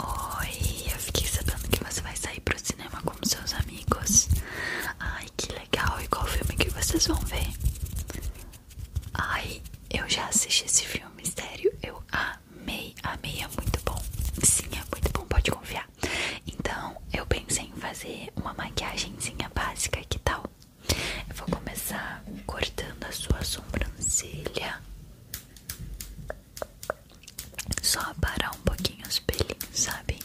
Oi, eu fiquei sabendo que você vai sair pro cinema com seus amigos. Ai, que legal! E qual filme que vocês vão ver? Ai, eu já assisti esse filme, sério. Eu amei, amei, é muito bom. Sim, é muito bom, pode confiar. Então, eu pensei em fazer uma maquiagemzinha básica, que tal? Eu vou começar cortando a sua sobrancelha só parar um pouquinho os pelinhos, sabe?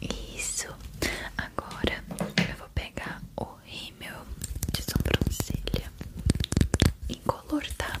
Isso. Agora eu vou pegar o rímel de sobrancelha incolor, tá?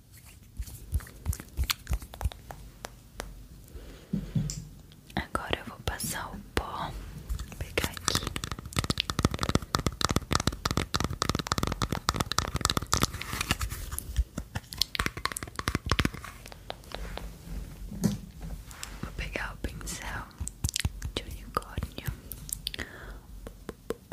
Agora eu vou passar o pó, vou pegar aqui. Vou pegar o pincel de unicórnio.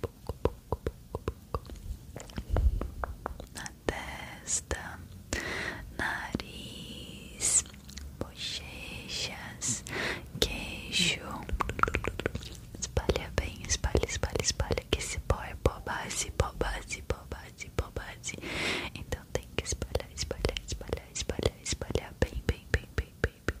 pouco, pouco, pouco, pouco na testa, nariz, bochechas, queixo. Espalha bem, espalha, espalha, espalha. Que esse pó é pó base, pó base, pó base, pó base. Então tem que espalhar, espalhar, espalhar, espalhar, espalhar bem, bem, bem, bem, bem. bem.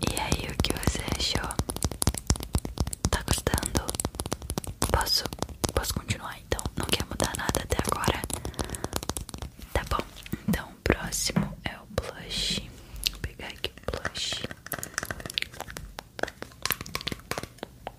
E aí, o que você achou? Tá gostando? Posso, posso continuar então? Não quer mudar nada até agora? Tá bom, então o próximo é o blush. Vou pegar aqui o blush.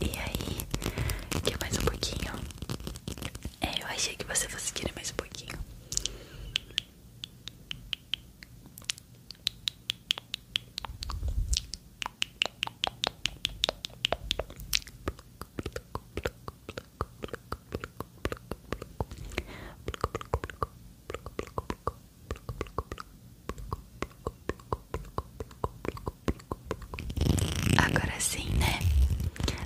E aí, quer mais um pouquinho? É, eu achei que você fosse querer mais um pouquinho. Agora sim, né?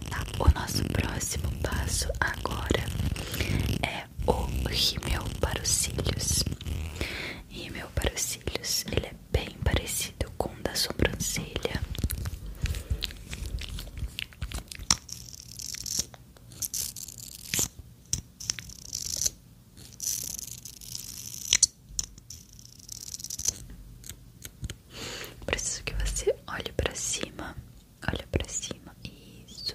Tá, o nosso próximo passo agora é o rímel para os cílios. Rímel para os cílios, ele é bem parecido com o da sobrancelha. Preciso que você olhe para cima, olhe para cima, e isso.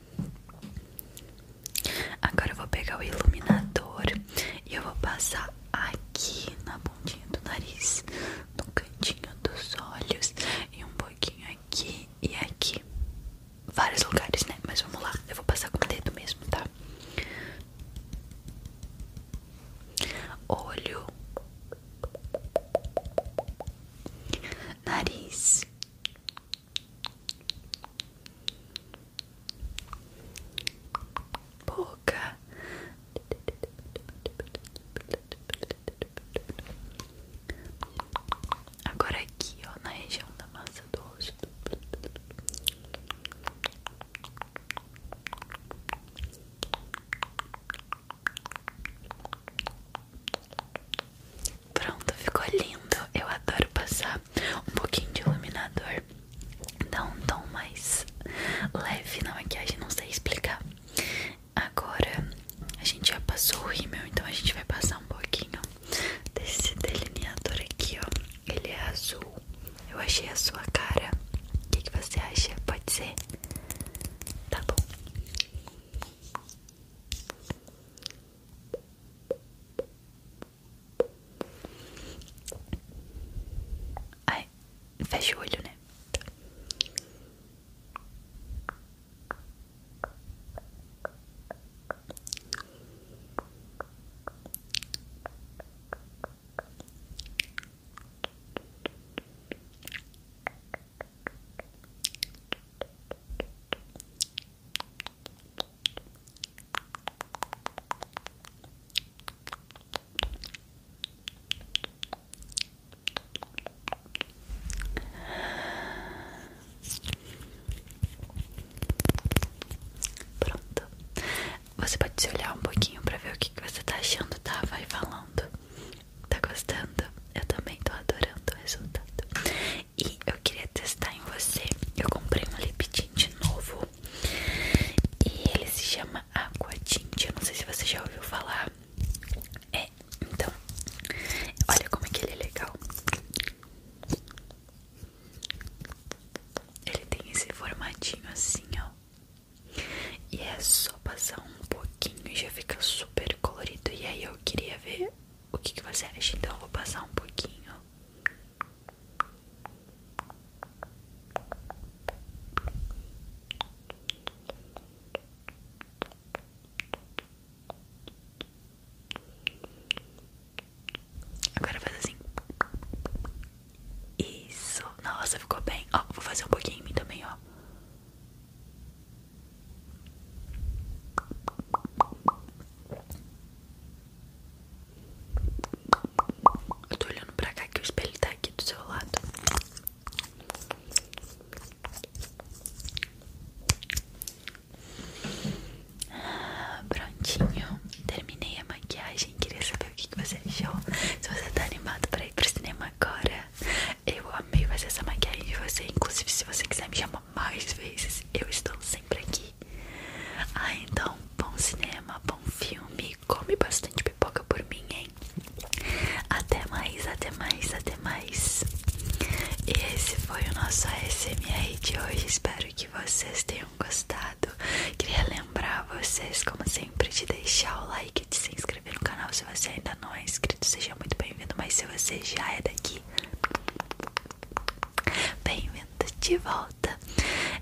Agora eu vou pegar o iluminador e eu vou passar aqui na pontinha do nariz, no cantinho dos olhos e um pouquinho aqui e aqui. Vários lugares, né? Mas vamos lá, eu vou passar com o dedo mesmo, tá? Olho, nariz boca, agora aqui ó na região da massa do rosto. Pronto, ficou lindo. Eu adoro passar um pouquinho de iluminador, dá um tom mais leve na maquiagem, não sei explicar. Agora a gente já passou o rímel, então a gente vai passar um pouquinho desse delineador aqui, ó. Ele é azul. Eu achei a sua cara. O que, que você acha? Pode ser? Tá bom. Ai, fecha o olho, né? Pronto, você pode se olhar um pouquinho para ver o que, você está achando, tá? Vai falando. Tá gostando? Eu também tô adorando o resultado. E eu queria testar em você. Eu comprei um lip tint novo. E ele se chama Aqua Tint. Eu não sei se você já ouviu falar. É, então. Olha como é que ele é legal. Ele tem esse formatinho assim, ó. E é só só passar um pouquinho e já fica super colorido. E aí eu queria ver o que, você acha. Então eu vou passar um pouquinho. Agora faz assim. Isso. Nossa, ficou bem. Ó, vou fazer um pouquinho em mim também, ó. Eu tô olhando pra cá que o espelho tá aqui do seu lado. Ah, prontinho, terminei a maquiagem. Queria saber o que, que você achou. Se você tá animado pra ir pro cinema agora. Eu amei fazer essa maquiagem de você. Inclusive, se você quiser me chamar mais vezes, eu estou sempre aqui. Ah, então, bom cinema, bom filme. Come bastante pipoca por mim, hein? Até mais, até mais, até mais. E esse foi o nosso ASMR de hoje. Espero que vocês tenham gostado. Queria lembrar vocês, como sempre, de deixar o like e de se inscrever no canal se você ainda não é inscrito, seja muito bem-vindo. Mas se você já é daqui, bem-vindo de volta.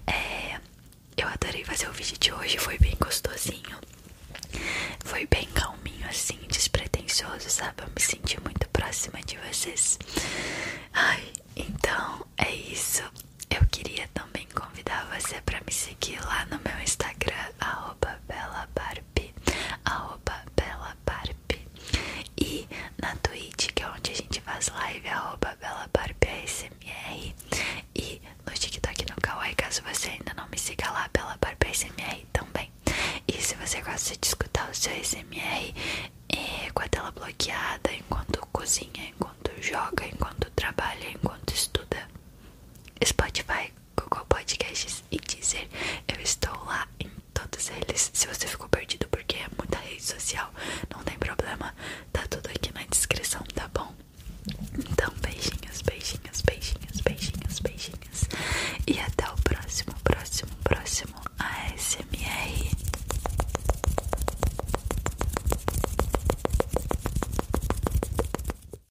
É, eu adorei fazer o vídeo de hoje, foi bem gostosinho, foi bem calminho, assim, despretensioso, sabe? Eu me senti muito próxima de vocês. Ai, então é isso. Eu queria também convidar você para me seguir lá no meu Instagram, arroba Barbie, E na Twitch, que é onde a gente faz live, é arroba E no TikTok no Kawaii, caso você ainda não me siga lá, Bela Barbie também. E se você gosta de escutar o seu ASMR é, com a tela bloqueada, enquanto cozinha, enquanto joga, enquanto trabalha, enquanto estuda, Spotify Google Podcasts e dizer Eu estou lá em todos eles. Se você ficou perdido porque é muita rede social, não tem problema. Tá tudo aqui na descrição, tá bom? Então, beijinhos, beijinhos, beijinhos, beijinhos, beijinhos. E até o próximo, próximo, próximo A ASMR.